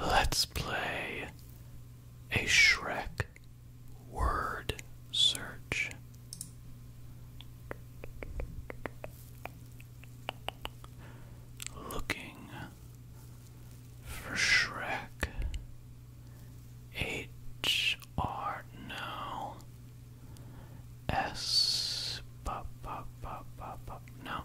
Let's play a Shrek word search. Looking for Shrek. H R No.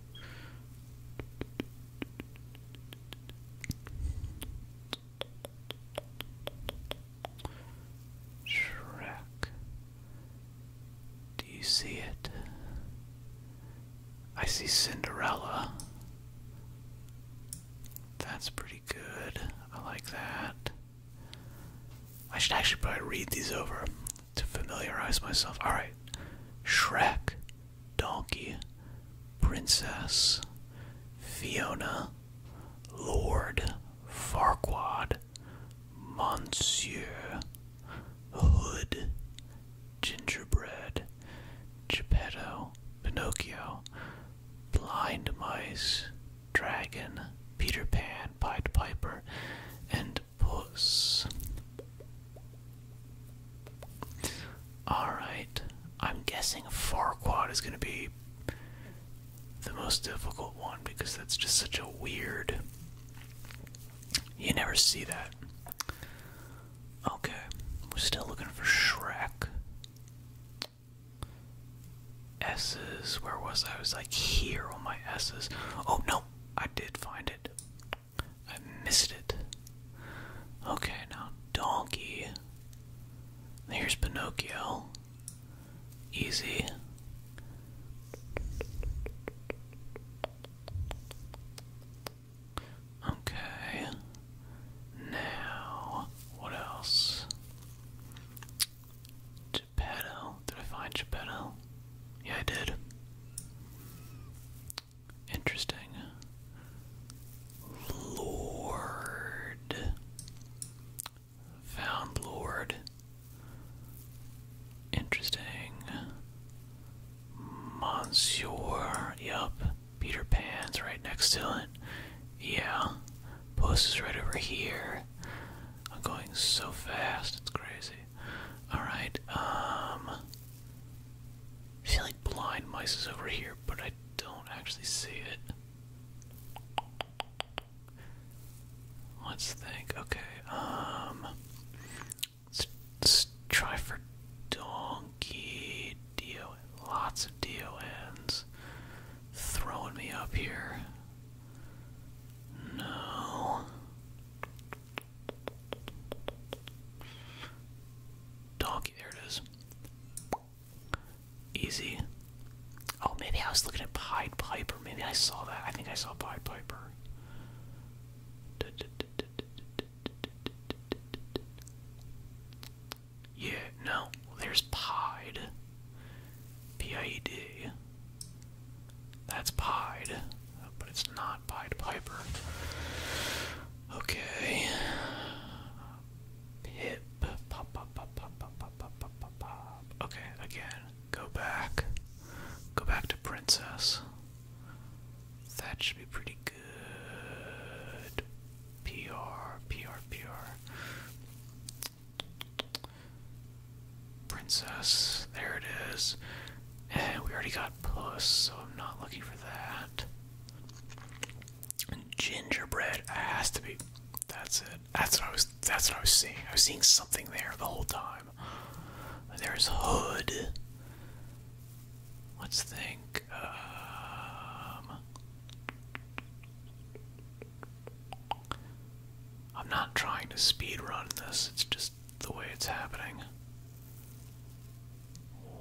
Shrek. Do you see it? I see Cinderella. That's pretty good. I like that. I should actually probably read these over to familiarize myself. Alright. Shrek, Donkey, Princess, Fiona, Lord, Farquad, Monsieur, Hood, Gingerbread, Geppetto, Pinocchio, Blind Mice, Dragon, Peter Pan, Pied Piper, and puss. Alright, I'm guessing Farquad is going to be the most difficult one because that's just such a weird. You never see that. Okay, we're still looking for Shrek. S's. Where was I? was like here on my S's. Oh no, I did find it. I missed it. Okay, now donkey. Here's Pinocchio. Easy. Okay. Now, what else? Geppetto. Did I find Geppetto? Yeah, I did. Interesting. Lord. Found Lord. Interesting. Monsieur. Yup. Peter Pan's right next to it. Yeah. Post is right over here. I'm going so fast, it's crazy. Alright, um. feel like blind mice is over here, but I don't actually see it. Let's think. Okay, um. Let's, try for donkey. Do lots of DONs throwing me up here. No. Donkey, there it is. Easy. Oh, maybe I was looking at Pied Piper. Maybe I saw that. I think I saw Pied Piper. Yeah, no, there's pied. P-I-E-D. That's pied, but it's not Pied Piper. Okay. Pip. Okay, again, go back. Go back to Princess. That should be pretty good. PR, PR, PR. Princess, there it is. And we already got Puss, so I'm not looking for that. Gingerbread has to be. That's it. That's what I was. That's what I was seeing. I was seeing something there the whole time. There's Hood. Let's think. Um, I'm not trying to speedrun this, it's just the way it's happening.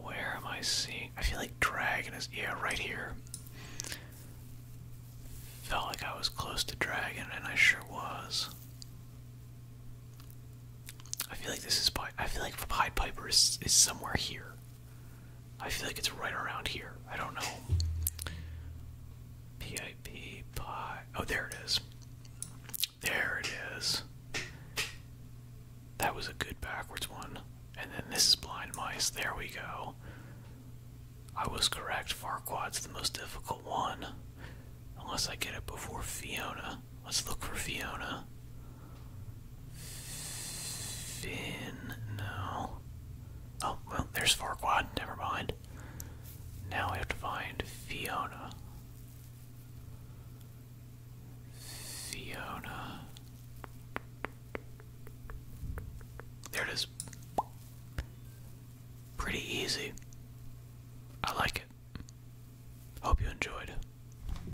Where am I seeing? I feel like Dragon is. Yeah, right here. Felt like I was close to Dragon, and I sure was. I feel like this is. I feel like Pied Piper is, is somewhere here. I feel like it's right around here. I don't know. PIP pi. Oh, there it is. There it is. That was a good backwards one. And then this is blind mice. There we go. I was correct. Farquad's the most difficult one. Unless I get it before Fiona. Let's look for Fiona. Finn, no. Oh, well, there's Farquaad, never mind. Now we have to find Fiona. Fiona. There it is. Pretty easy. I like it. Hope you enjoyed.